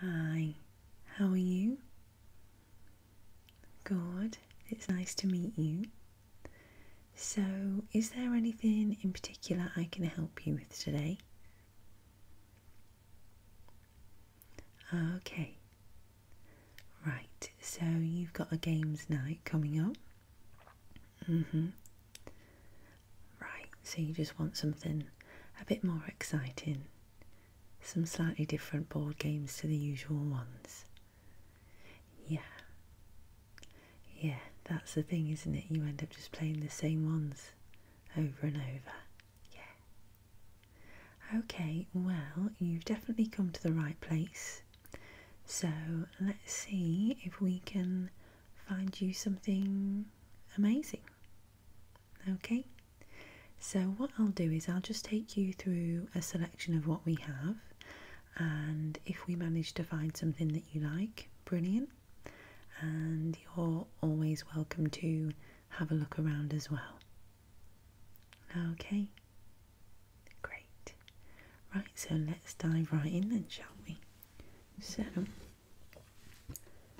Hi, how are you? Good, it's nice to meet you. So, is there anything in particular I can help you with today? Okay, right, so you've got a games night coming up. Mm hmm. Right, so you just want something a bit more exciting some slightly different board games to the usual ones. Yeah. Yeah, that's the thing, isn't it? You end up just playing the same ones over and over. Yeah. Okay, well, you've definitely come to the right place. So let's see if we can find you something amazing. Okay, so what I'll do is I'll just take you through a selection of what we have, and if we manage to find something that you like, brilliant. And you're always welcome to have a look around as well. Okay, great. Right, so let's dive right in then, shall we? So,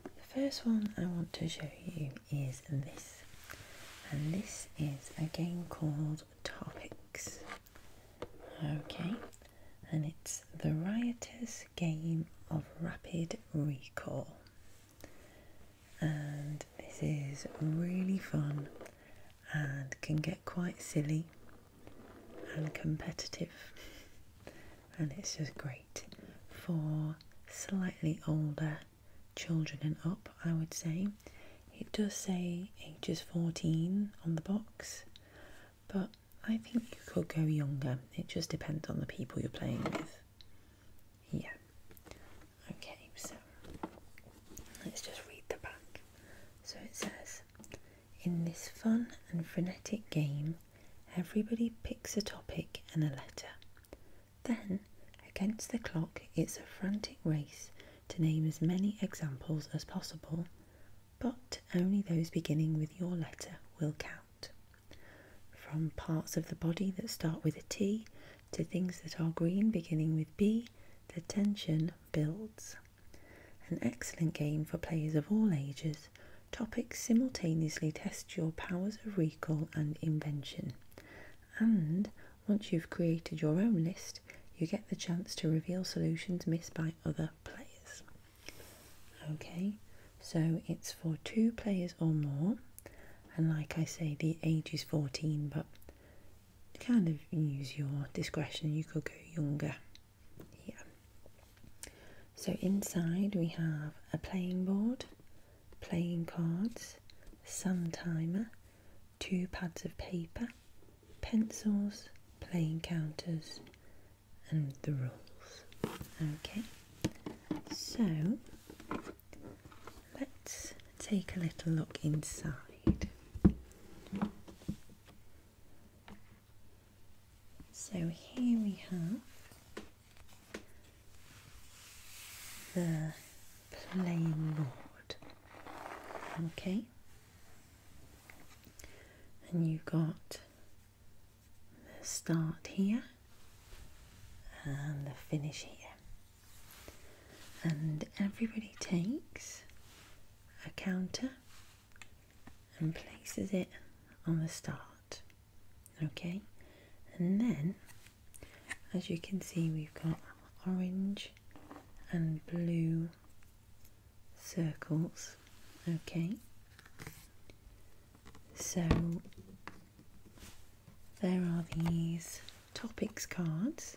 the first one I want to show you is this, and this is a game called Topics. Okay, and it's the riotous game of rapid recall, and this is really fun and can get quite silly and competitive, and it's just great for slightly older children and up, I would say. It does say ages 14 on the box, but I think you could go younger. It just depends on the people you're playing with. Yeah. Okay, so let's just read the back. So it says In this fun and frenetic game, everybody picks a topic and a letter. Then, against the clock, it's a frantic race to name as many examples as possible, but only those beginning with your letter will count. From parts of the body that start with a T to things that are green beginning with B, the tension builds. An excellent game for players of all ages topics simultaneously test your powers of recall and invention. And once you've created your own list, you get the chance to reveal solutions missed by other players. Okay, so it's for two players or more, and like I say, the age is 14, but kind of use your discretion, you could go younger. Yeah. So inside we have a playing board, playing cards, sun timer, two pads of paper, pencils, playing counters, and the rules. Okay, so let's take a little look inside. So here we have the plain board. Okay. And you've got the start here and the finish here. And everybody takes a counter and places it on the start okay and then as you can see we've got orange and blue circles okay so there are these topics cards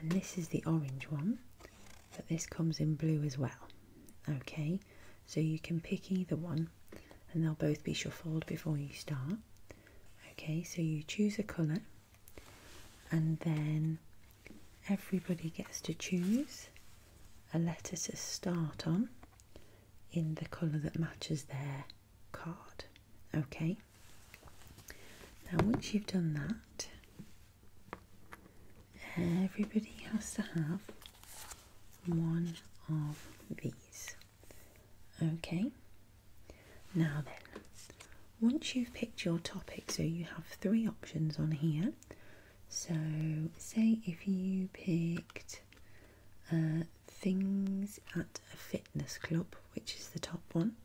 and this is the orange one but this comes in blue as well okay so you can pick either one and they'll both be shuffled before you start. Okay, so you choose a colour and then everybody gets to choose a letter to start on in the colour that matches their card. Okay, now once you've done that, everybody has to have one of these. Okay, now then, once you've picked your topic, so you have three options on here. So, say if you picked uh, things at a fitness club, which is the top one,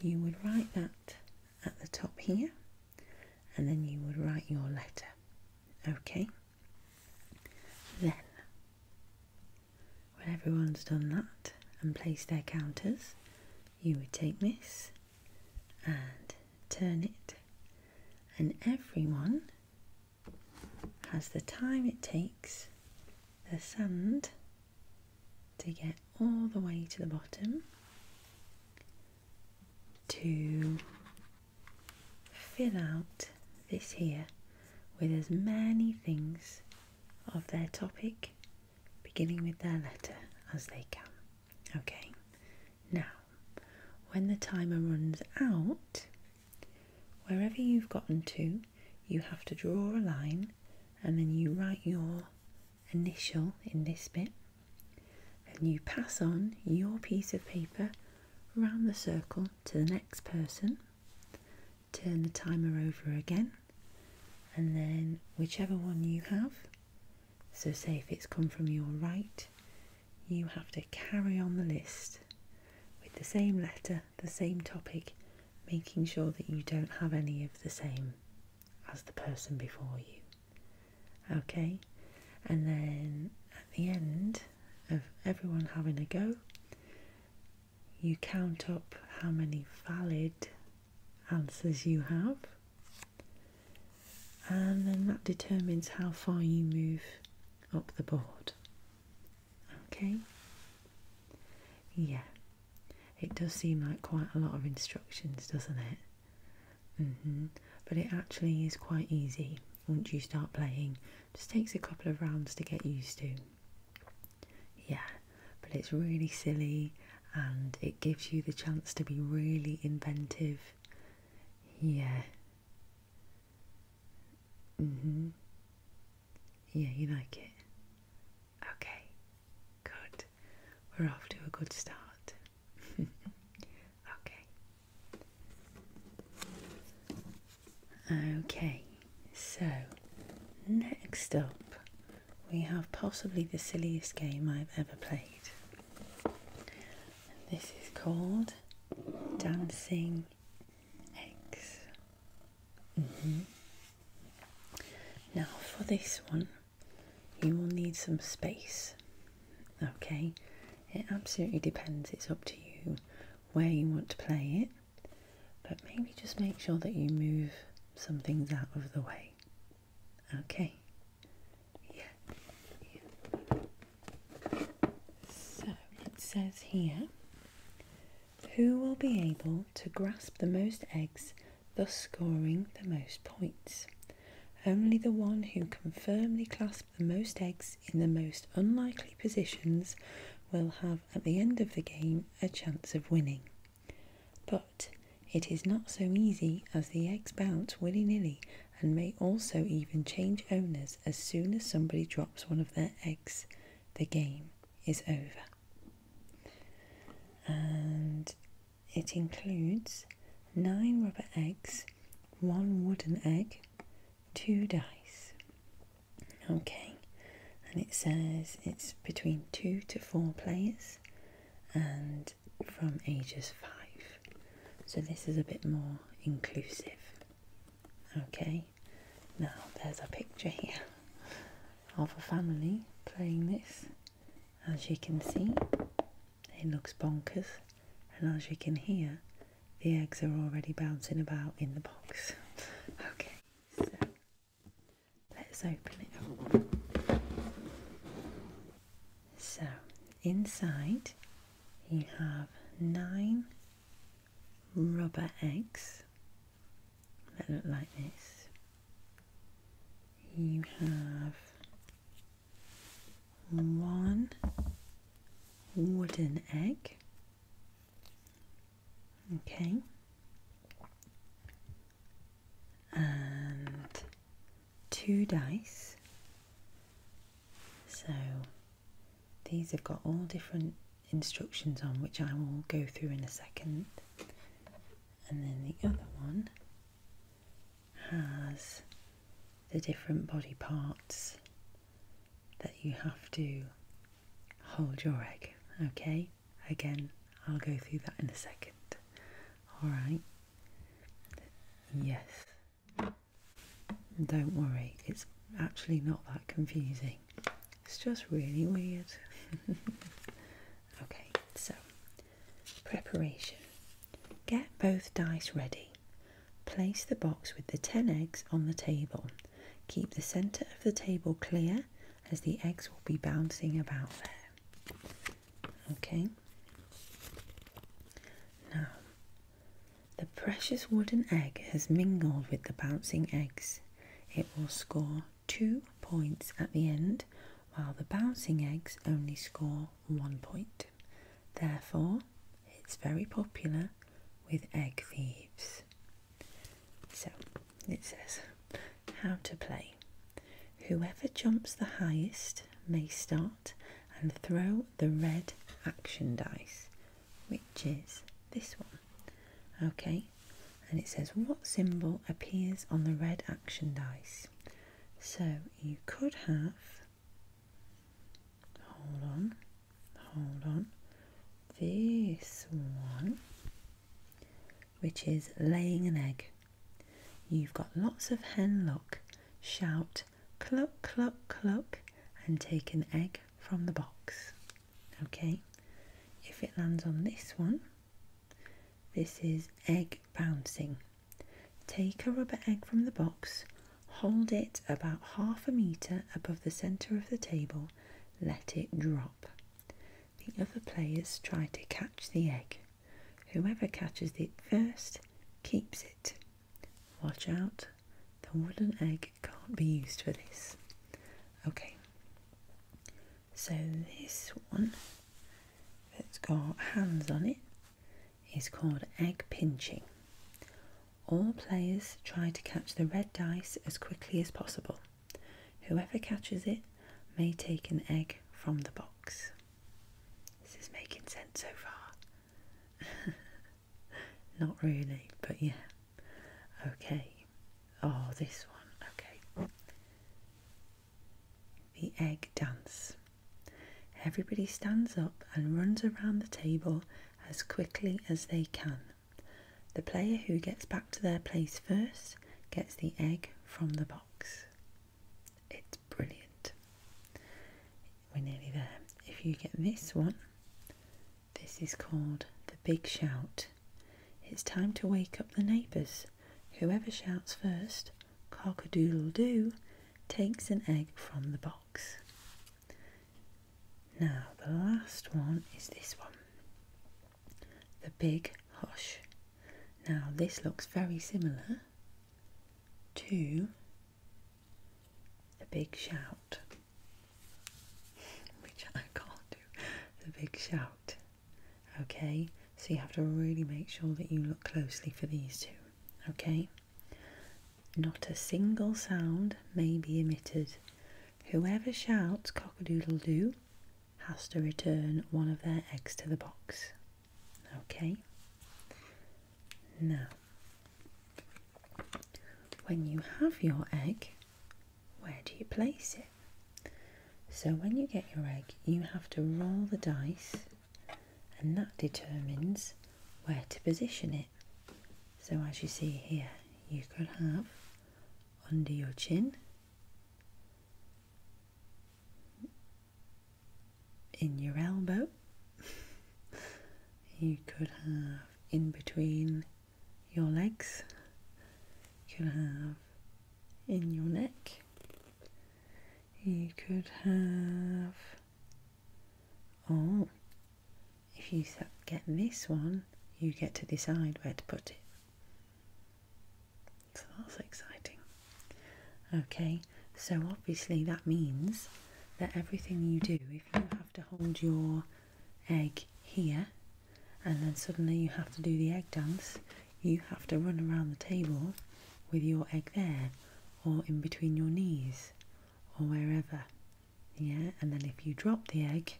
you would write that at the top here and then you would write your letter. Okay? Then, when everyone's done that and placed their counters, you would take this and turn it, and everyone has the time it takes the sand to get all the way to the bottom to fill out this here with as many things of their topic beginning with their letter as they can. Okay, now when the timer runs out, wherever you've gotten to, you have to draw a line and then you write your initial in this bit and you pass on your piece of paper round the circle to the next person. Turn the timer over again, and then whichever one you have. So, say if it's come from your right, you have to carry on the list with the same letter, the same topic, making sure that you don't have any of the same as the person before you. Okay, and then at the end of everyone having a go, you count up how many valid answers you have, and then that determines how far you move up the board. Okay, yeah, it does seem like quite a lot of instructions, doesn't it? Mm-hmm. But it actually is quite easy once you start playing. Just takes a couple of rounds to get used to. Yeah, but it's really silly and it gives you the chance to be really inventive. Yeah. Mhm. yeah, you like it. Okay. Good. We're off to a good start. okay. Okay, so next up we have possibly the silliest game I've ever played. this is called Dancing Eggs. Mm-hmm. Now, for this one, you will need some space. Okay, it absolutely depends, it's up to you where you want to play it, but maybe just make sure that you move some things out of the way. Okay, yeah. So it says here who will be able to grasp the most eggs thus scoring the most points. Only the one who can firmly clasp the most eggs in the most unlikely positions will have at the end of the game a chance of winning. But it is not so easy as the eggs bounce willy nilly and may also even change owners as soon as somebody drops one of their eggs. The game is over. And it includes 9 rubber eggs, 1 wooden egg, 2 dice. Okay, and it says it's between 2 to 4 players and from ages 5. So this is a bit more inclusive. Okay, now there's a picture here of a family playing this. As you can see, it looks bonkers, and as you can hear, the eggs are already bouncing about in the box. okay, so let's open it So, inside you have nine rubber eggs that look like this. You have one wooden egg. Okay. And two dice. So these have got all different instructions on, which I will go through in a second. And then the other one has the different body parts that you have to hold your egg. Okay, again, I'll go through that in a second. All right, yes, don't worry, it's actually not that confusing, it's just really weird. okay, so Preparation Get both dice ready. Place the box with the 10 eggs on the table. Keep the centre of the table clear as the eggs will be bouncing about there. Okay. Now, the precious wooden egg has mingled with the bouncing eggs. It will score two points at the end, while the bouncing eggs only score one point. Therefore, it's very popular with egg thieves. So it says how to play. Whoever jumps the highest may start and throw the red action dice, which is this one. Okay, and it says what symbol appears on the red action dice. So you could have, hold on, hold on, this one, which is laying an egg. You've got lots of hen luck. Shout cluck, cluck, cluck, and take an egg from the box. Okay, if it lands on this one, this is egg bouncing. Take a rubber egg from the box, hold it about half a metre above the centre of the table, let it drop. The other players try to catch the egg. Whoever catches it first keeps it. Watch out, the wooden egg can't be used for this. Okay, so this one that's got hands on it is called egg pinching. All players try to catch the red dice as quickly as possible. Whoever catches it may take an egg from the box. This is making sense so far. Not really, but yeah. Okay. Oh, this one. Okay. The Egg Dance. Everybody stands up and runs around the table as quickly as they can. The player who gets back to their place first gets the egg from the box. It's brilliant. We're nearly there. If you get this one, this is called the big shout. It's time to wake up the neighbours whoever shouts first, cock a doodle doo, takes an egg from the box. Now, the last one is this one the big hush. Now, this looks very similar to the big shout, which I can't do. The big shout. Okay, so you have to really make sure that you look closely for these two. Okay, not a single sound may be emitted. Whoever shouts cock a doodle doo has to return one of their eggs to the box. Okay, now when you have your egg, where do you place it? So when you get your egg, you have to roll the dice and that determines where to position it. So as you see here, you could have under your chin, in your elbow, you could have in between your legs, you could have in your neck. You could have, oh, if you get this one, you get to decide where to put it. So that's exciting. Okay, so obviously that means that everything you do, if you have to hold your egg here and then suddenly you have to do the egg dance, you have to run around the table with your egg there, or in between your knees, or wherever. Yeah, and then if you drop the egg,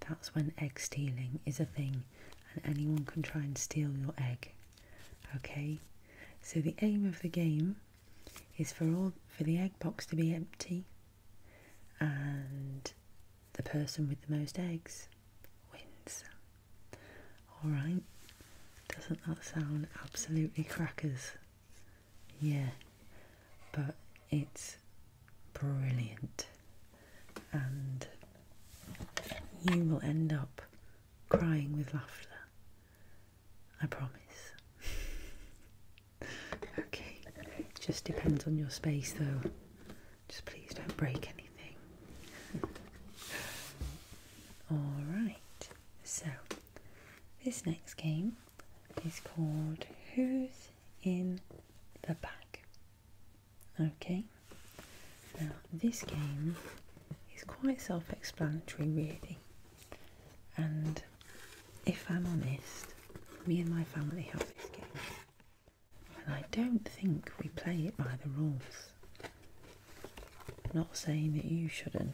that's when egg stealing is a thing, and anyone can try and steal your egg. Okay, so the aim of the game is for all for the egg box to be empty and the person with the most eggs wins. Alright, doesn't that sound absolutely crackers? Yeah, but it's brilliant, and you will end up crying with laughter. I promise. okay, just depends on your space though. Just please don't break anything. Alright, so this next game is called Who's in the Bag? Okay, now this game is quite self explanatory, really. And if I'm honest, me and my family have this game and I don't think we play it by the rules. not saying that you shouldn't,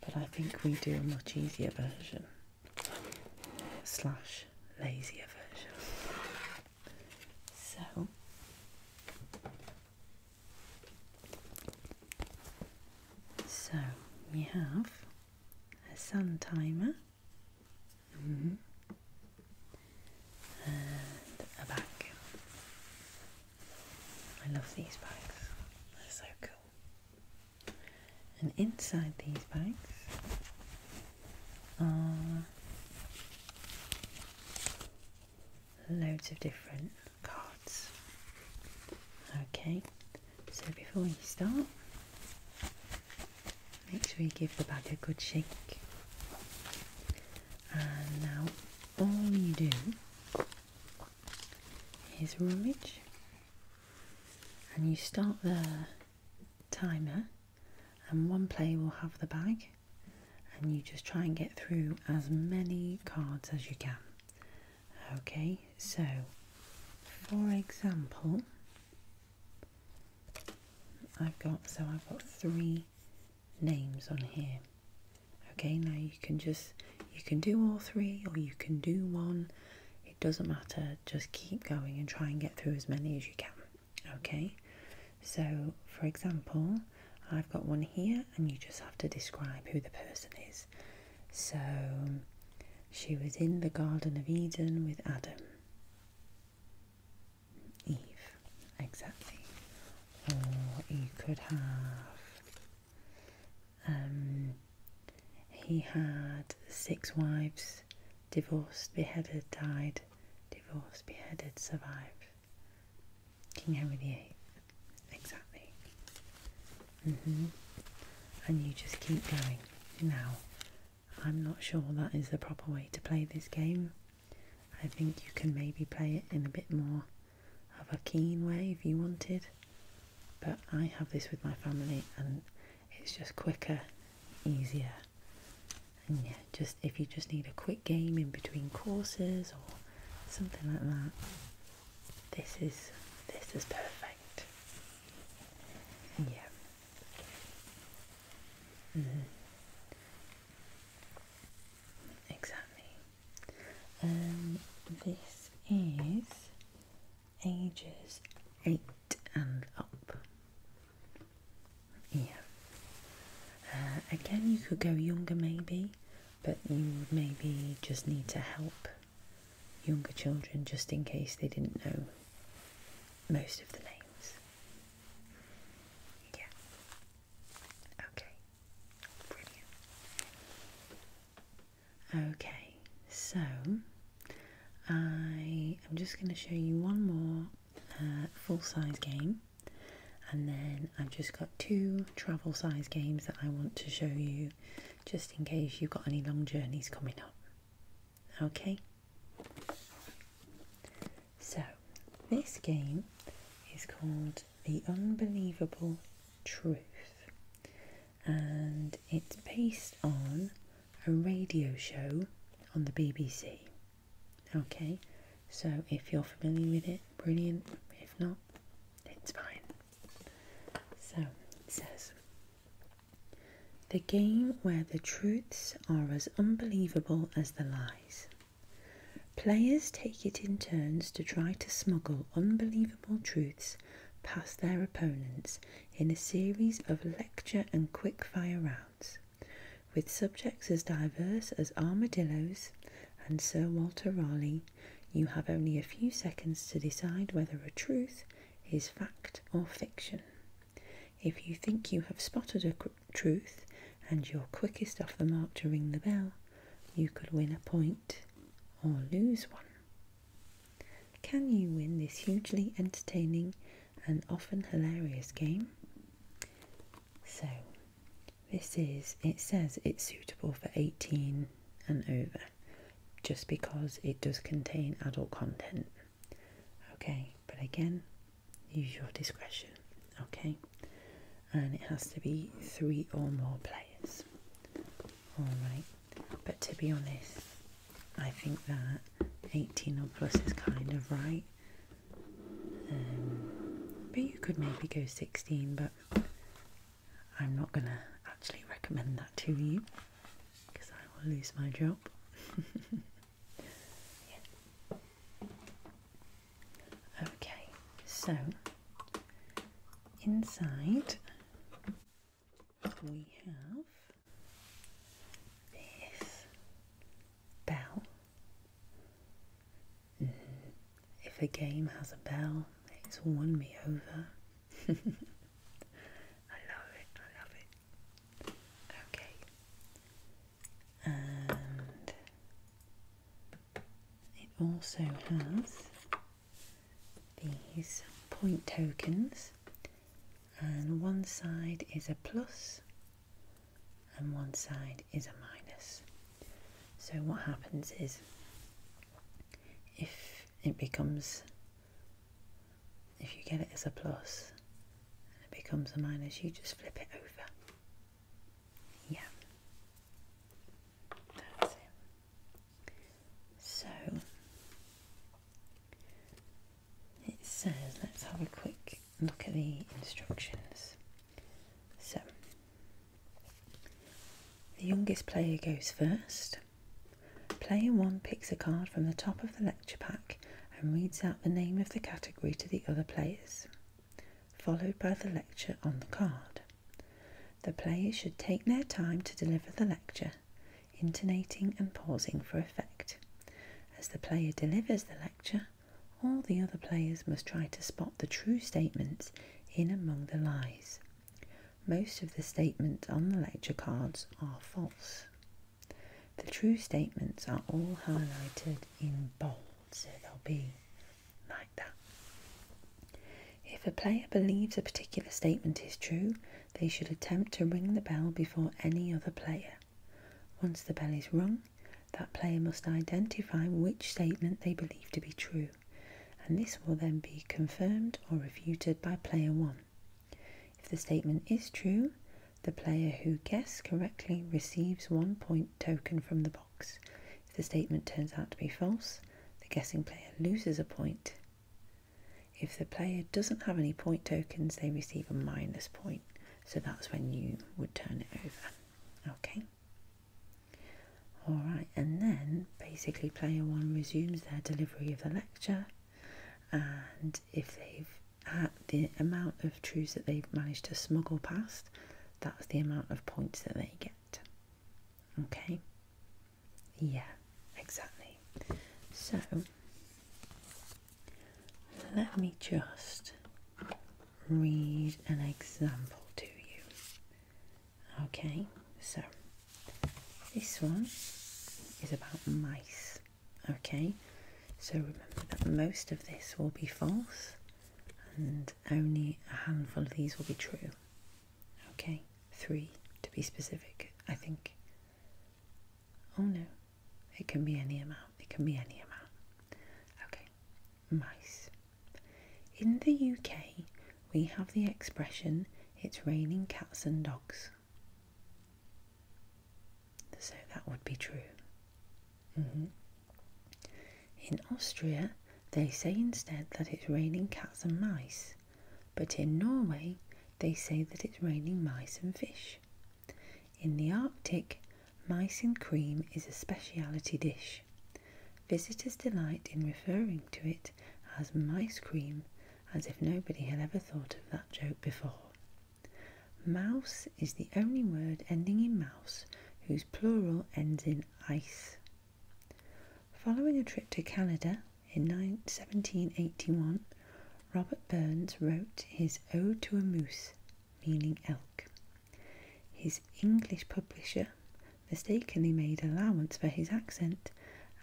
but I think we do a much easier version, slash, lazier version. So. So we have a sun timer Mm -hmm. And uh, a bag. I love these bags, they're so cool. And inside these bags are loads of different cards. Okay, so before you start, make sure you give the bag a good shake. And now all you do is rummage and you start the timer and one player will have the bag and you just try and get through as many cards as you can. Okay, so for example I've got so I've got three names on here okay now you can just you can do all three or you can do one it doesn't matter just keep going and try and get through as many as you can okay so for example I've got one here and you just have to describe who the person is so she was in the Garden of Eden with Adam. Eve, exactly. Or you could have. Um, he had six wives, divorced, beheaded, died, divorced, beheaded, survived. King Henry VIII, exactly. Mm -hmm. And you just keep going. Now, I'm not sure that is the proper way to play this game. I think you can maybe play it in a bit more of a keen way if you wanted. But I have this with my family and it's just quicker, easier. And yeah, just if you just need a quick game in between courses or something like that, this is this is perfect. Yeah. Mm -hmm. Exactly. Um, this is ages eight and up. Yeah. Uh, again, you could go younger maybe, but you would maybe just need to help younger children just in case they didn't know most of the names. Yeah. Okay. Brilliant. Okay, so I am just going to show you one more uh, full size game, and then I've just got two travel size games that I want to show you just in case you've got any long journeys coming up. Okay? So, this game is called The Unbelievable Truth and it's based on a radio show on the BBC. Okay, so if you're familiar with it, brilliant. If not, it's fine. So it says The game where the truths are as unbelievable as the lies. Players take it in turns to try to smuggle unbelievable truths past their opponents in a series of lecture and quickfire rounds, with subjects as diverse as armadillos and Sir Walter Raleigh you have only a few seconds to decide whether a truth is fact or fiction. If you think you have spotted a truth and you're quickest off the mark to ring the bell, you could win a point or lose one. Can you win this hugely entertaining and often hilarious game? So, this is, it says it's suitable for 18 and over just because it does contain adult content. Okay, but again, use your discretion. Okay, and it has to be three or more players. Alright, but to be honest, I think that 18 or plus is kind of right. Um, but you could maybe go 16, but I'm not going to actually recommend that to you because I will lose my job. Okay, so inside we have this bell. Mm-hmm. if a game has a bell, it's won me over. I love it, I love it. Okay. And it also has these point tokens, and one side is a plus and one side is a minus. So, what happens is if it becomes, if you get it as a plus and it becomes a minus, you just flip it over. Yeah, that's it. So it says, let's have a quick look at the instructions. So the youngest player goes first. Player 1 picks a card from the top of the lecture pack and reads out the name of the category to the other players, followed by the lecture on the card. The players should take their time to deliver the lecture, intonating and pausing for effect. As the player delivers the lecture, all the other players must try to spot the true statements in among the lies. Most of the statements on the lecture cards are false. The true statements are all highlighted in bold, so they'll be like that. If a player believes a particular statement is true, they should attempt to ring the bell before any other player. Once the bell is rung, that player must identify which statement they believe to be true and this will then be confirmed or refuted by player 1. If the statement is true, the player who guessed correctly receives one point token from the box. If the statement turns out to be false, the guessing player loses a point. If the player doesn't have any point tokens, they receive a minus point. So that's when you would turn it over. Okay. Alright, and then basically player one resumes their delivery of the lecture, and if they've had the amount of truths that they've managed to smuggle past, that's the amount of points that they get. Okay? Yeah, exactly. So, let me just read an example to you. Okay, so this one is about mice. Okay, so remember that most of this will be false and only a handful of these will be true. Okay, three to be specific, I think. Oh no, it can be any amount, it can be any amount. Okay, mice. In the UK, we have the expression, it's raining cats and dogs. So that would be true. Mm-hmm. In Austria, they say instead that it's raining cats and mice, but in Norway, they say that it's raining mice and fish. In the Arctic, mice and cream is a speciality dish. Visitors delight in referring to it as mice cream, as if nobody had ever thought of that joke before. Mouse is the only word ending in mouse whose plural ends in ice. Following a trip to Canada in 1781, Robert Burns wrote his Ode to a Moose, meaning elk. His English publisher mistakenly made allowance for his accent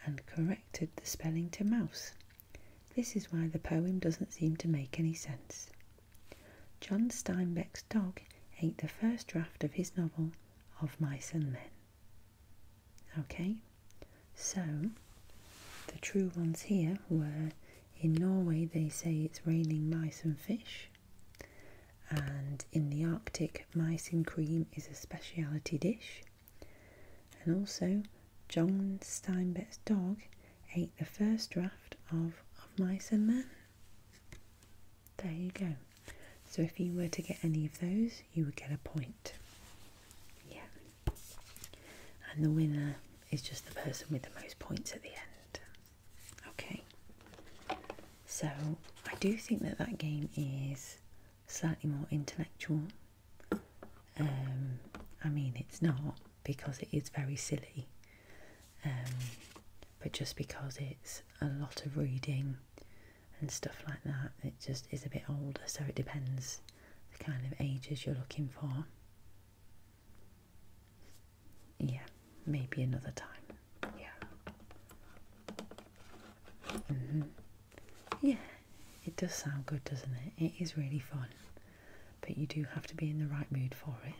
and corrected the spelling to mouse. This is why the poem doesn't seem to make any sense. John Steinbeck's dog ate the first draft of his novel, Of Mice and Men. Okay, so the true ones here were in Norway, they say it's raining mice and fish and in the Arctic, mice cream is a speciality dish. And also, John Steinbeck's dog ate the first draft of, of Mice and Men. There you go. So if you were to get any of those, you would get a point. Yeah. And the winner is just the person with the most points at the end. Okay, so I do think that that game is slightly more intellectual. Um, I mean, it's not because it is very silly, um, but just because it's a lot of reading and stuff like that, it just is a bit older, so it depends the kind of ages you're looking for. Yeah maybe another time. Yeah. Mm-hmm. Yeah, it does sound good, doesn't it? It is really fun, but you do have to be in the right mood for it.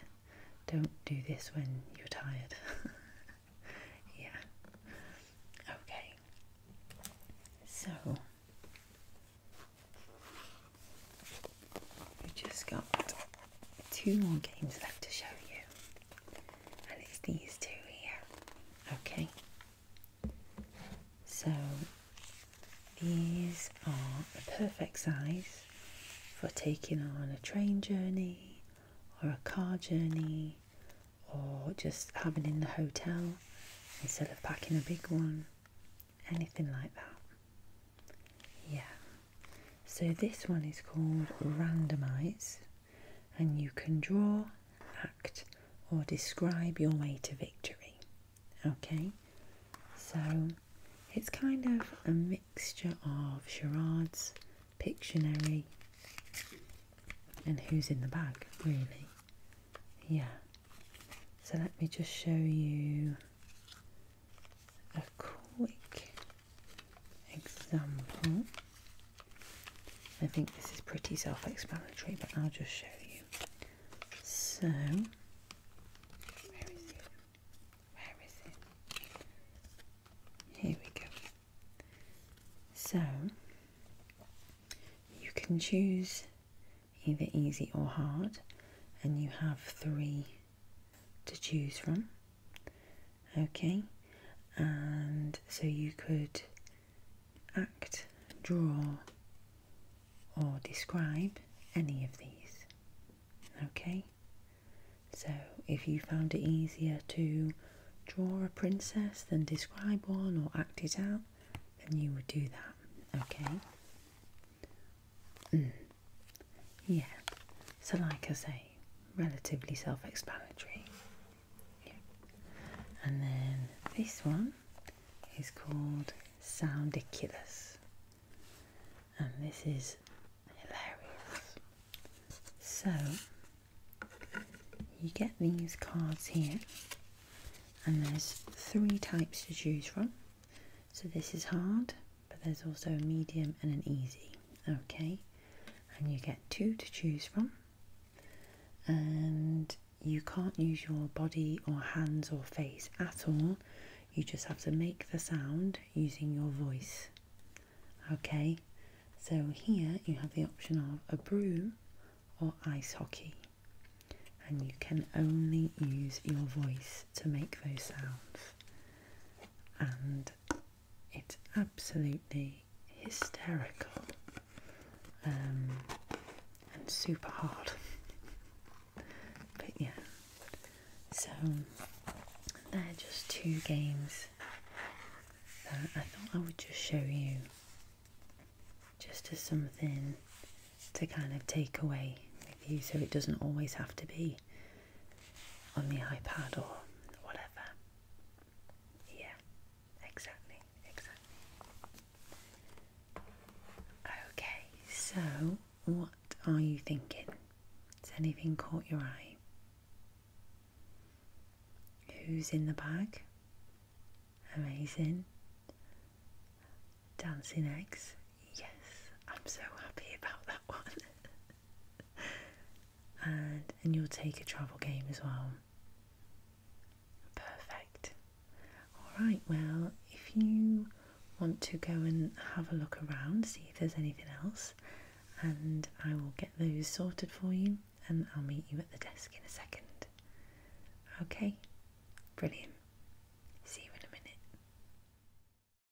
Don't do this when you're tired. yeah. Okay. So. We've just got two more games left to show you and it's these two here. Okay, so these are the perfect size for taking on a train journey or a car journey or just having in the hotel instead of packing a big one, anything like that. Yeah, so this one is called Randomize, and you can draw, act, or describe your way to victory. Okay, so it's kind of a mixture of charades, Pictionary, and who's in the bag, really. Yeah. So let me just show you a quick example. I think this is pretty self explanatory, but I'll just show you. So, where is it? Where is it? Here we go. So, you can choose either easy or hard, and you have three to choose from. Okay, and so you could act, draw, or describe any of these. Okay, so if you found it easier to draw a princess than describe one or act it out, then you would do that. Okay. Mm. Yeah, so like I say, relatively self explanatory. And then this one is called Soundicus, and this is hilarious. So, you get these cards here, and there's three types to choose from. So, this is hard, but there's also a medium and an easy. Okay, and you get two to choose from, and you can't use your body or hands or face at all, you just have to make the sound using your voice. Okay, so here you have the option of a broom or ice hockey, and you can only use your voice to make those sounds. And it's absolutely hysterical um, and super hard. but yeah, so they're just two games that I thought I would just show you just as something to kind of take away with you so it doesn't always have to be on the iPad or whatever. Yeah, exactly, exactly. Okay, so what are you thinking? Has anything caught your eye? Who's in the bag? Amazing. Dancing eggs? Yes, I'm so happy about that one. and and you'll take a travel game as well. Perfect. All right. Well, if you want to go and have a look around, see if there's anything else, and I will get those sorted for you, and I'll meet you at the desk in a second. Okay. Brilliant. See you in a minute.